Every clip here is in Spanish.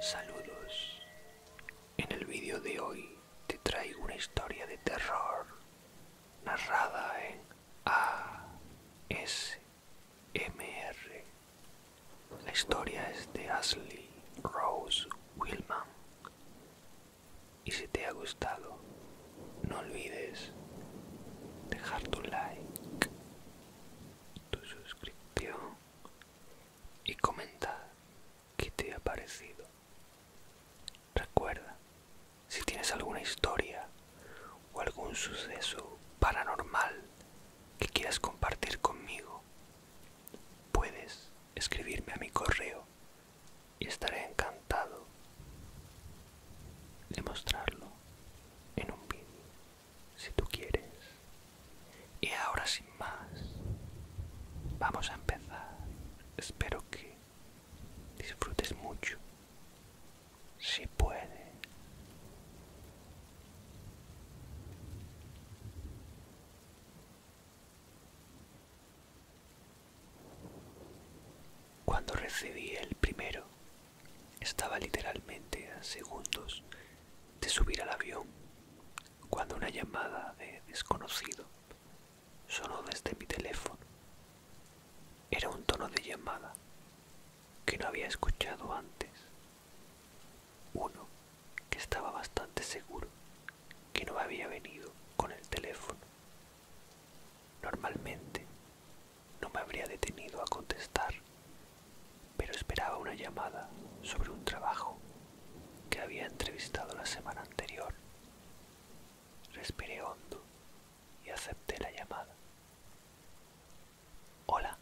Saludos. En el vídeo de hoy te traigo una historia de terror narrada en ASMR. La historia es de Ashley Rose Willman. Y si te ha gustado, no olvides dejar tu like, tu suscripción y comentar qué te ha parecido. Recuerda, si tienes alguna historia o algún suceso paranormal que quieras compartir conmigo, Puedes escribirme a mi correo y estaré encantado de mostrarlo en un vídeo si tú quieres. Y ahora sin más, vamos a empezar. Espero que disfrutes mucho. Si puedes, cuando recibí el primero, estaba literalmente a segundos de subir al avión cuando una llamada de desconocido sonó desde mi teléfono. Era un tono de llamada que no había escuchado antes uno, que estaba bastante seguro, que no había venido con el teléfono. Normalmente no me habría detenido a contestar, pero esperaba una llamada sobre un trabajo que había entrevistado la semana anterior. Respiré hondo y acepté la llamada. Hola,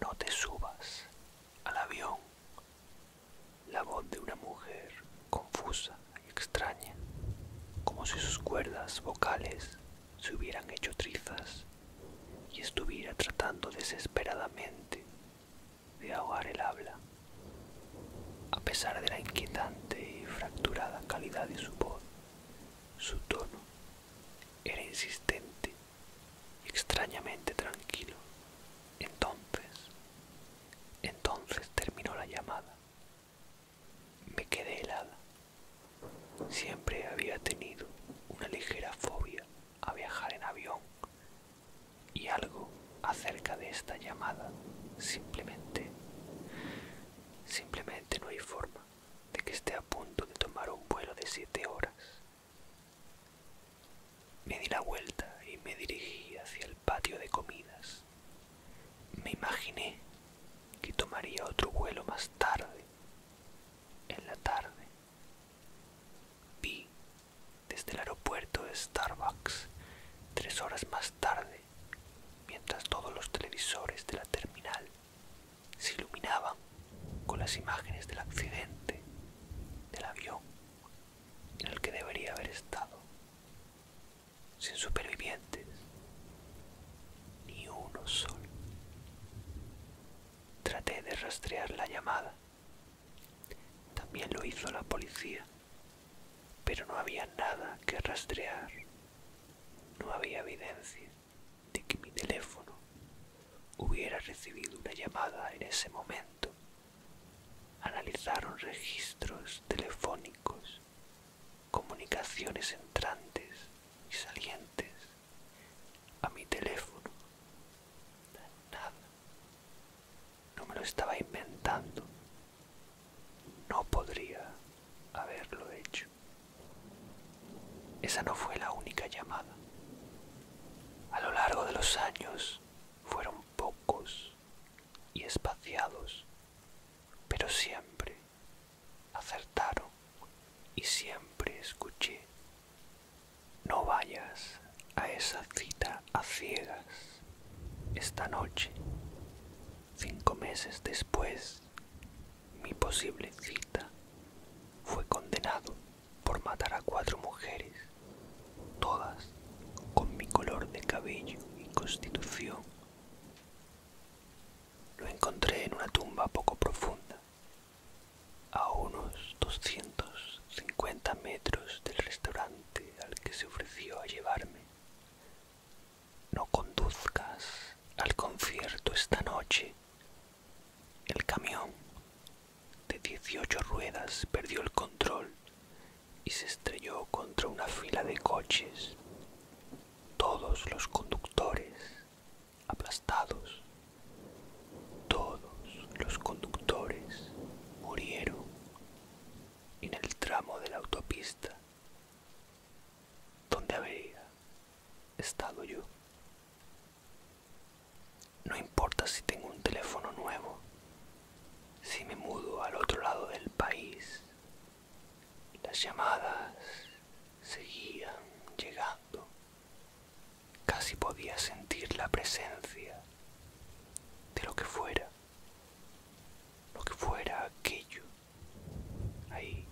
no te subas al avión. La voz de una mujer confusa y extraña, como si sus cuerdas vocales se hubieran hecho trizas y estuviera tratando desesperadamente de ahogar el habla. A pesar de la inquietante y fracturada calidad de su voz, su tono era insistente extrañamente tranquilo. Entonces, entonces terminó la llamada. Me quedé helada. Siempre había tenido una ligera fobia a viajar en avión y algo acerca de esta llamada simplemente, simplemente no hay forma de que esté a punto de tomar un vuelo de siete horas me di la vuelta y me dirigí hacia el patio de comidas. Me imaginé que tomaría otro vuelo más tarde, en la tarde. Vi desde el aeropuerto de Starbucks tres horas más tarde, mientras todos los televisores de la terminal se iluminaban con las imágenes del accidente del avión en el que debería haber estado, sin supervivientes, ni uno solo. Traté de rastrear la llamada, también lo hizo la policía, pero no había nada que rastrear, no había evidencias de que mi teléfono hubiera recibido una llamada en ese momento. Analizaron registros telefónicos, comunicaciones entrantes y salientes a mi teléfono. Nada. No me lo estaba inventando. No podría haberlo hecho. Esa no fue la única llamada. A lo largo de los años fueron pocos y espaciados, pero siempre acertaron y siempre escuché. No vayas a esa cita a ciegas esta noche. Cinco meses después, mi posible cita fue condenado por matar a cuatro mujeres, todas con mi color de cabello y constitución. Lo encontré en una tumba poco profunda, a unos 250 metros del restaurante al que se ofreció a llevarme. No conduzcas al concierto esta noche, el camión de 18 ruedas perdió el control y se estrelló contra una fila de coches. Todos los conductores aplastados, todos los conductores murieron en el tramo de la autopista donde habría estado yo. No importa si tengo un teléfono nuevo, si me mudo al otro lado del país, las llamadas seguían llegando. Casi podía sentir la presencia de lo que fuera, lo que fuera aquello, ahí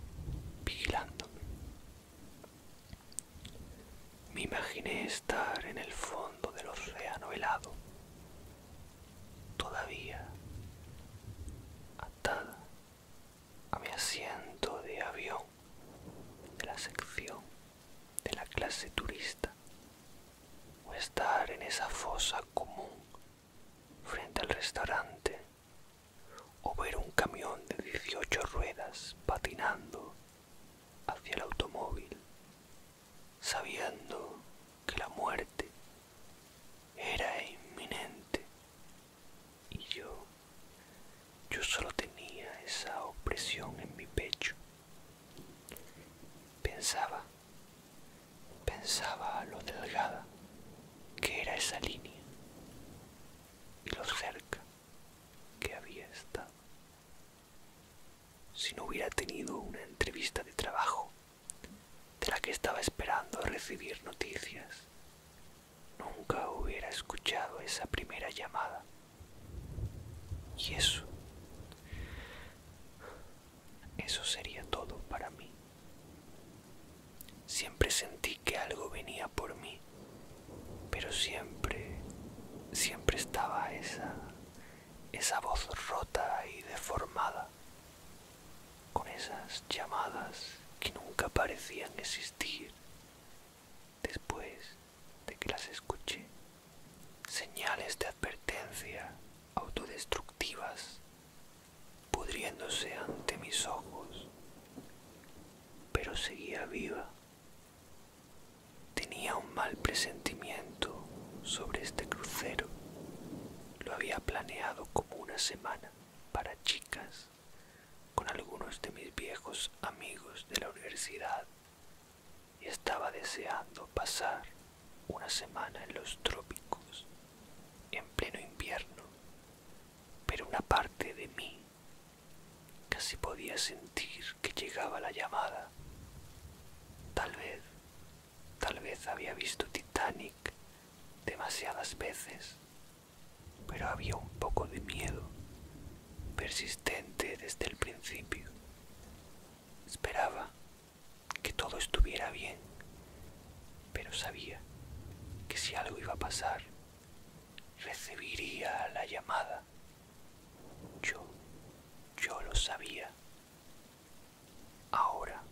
vigilándome. Me imaginé estar en el fondo del océano helado, todavía atada a mi asiento de avión de la sección de la clase turista, o estar en esa fosa común frente al restaurante, o ver un camión de 18 ruedas patinando hacia el automóvil, sabiendo que la muerte era inminente. Y yo, yo solo tenía esa opresión en mi pecho. Pensaba, pensaba lo delgada que era esa línea y lo cerca que había estado. Si no hubiera tenido una entrevista de trabajo de la que estaba esperando recibir noticias, nunca hubiera escuchado esa primera llamada. Y eso, eso sería todo para mí. Siempre sentí que algo venía por mí pero siempre, siempre estaba esa, esa voz rota y deformada, con esas llamadas que nunca parecían existir. Después de que las escuché, señales de advertencia autodestructivas pudriéndose ante mis ojos, pero seguía viva Tenía un mal presentimiento sobre este crucero. Lo había planeado como una semana para chicas con algunos de mis viejos amigos de la universidad y estaba deseando pasar una semana en los trópicos en pleno invierno, pero una parte de mí Casi podía sentir que llegaba la llamada. Tal vez, tal vez había visto Titanic demasiadas veces, pero había un poco de miedo, persistente desde el principio. Esperaba que todo estuviera bien, pero sabía que si algo iba a pasar, recibiría la llamada. Yo, yo lo sabía. Ahora,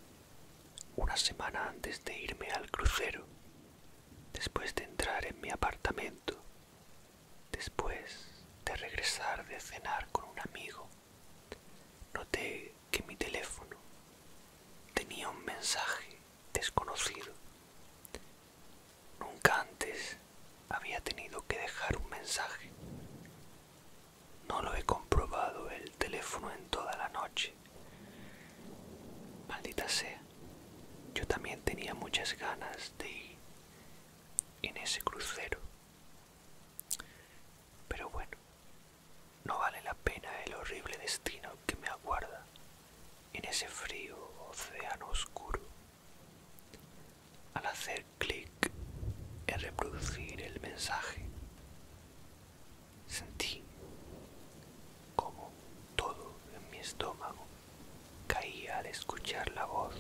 una semana antes de irme al crucero, después de entrar en mi apartamento, después de regresar de cenar con un amigo, noté que mi teléfono tenía un mensaje desconocido. Nunca antes había tenido que dejar un mensaje. No lo he comprobado el teléfono en toda la noche. Maldita sea. Yo también tenía muchas ganas de ir en ese crucero. Pero bueno, no vale la pena el horrible destino que me aguarda en ese frío océano oscuro. Al hacer clic en reproducir el mensaje, sentí como todo en mi estómago caía al escuchar la voz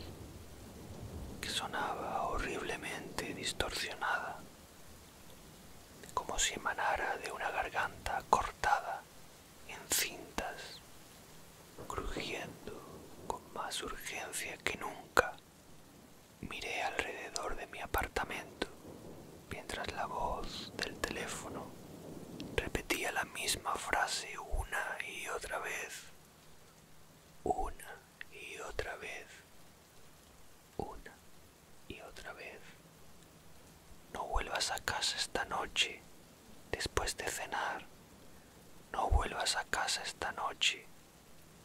que sonaba horriblemente distorsionada, como si emanara de una garganta cortada en cintas crujiendo con más urgencia que nunca. Miré alrededor de mi apartamento mientras la voz del teléfono repetía la misma frase una y otra vez, una y otra vez, una y otra vez. No vuelvas a casa esta noche, después de cenar. No vuelvas a casa esta noche,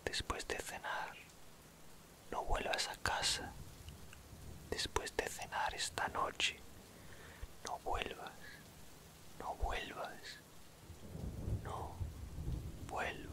después de cenar. No vuelvas a casa, después de cenar esta noche. No vuelvas, no vuelvas, no vuelvas.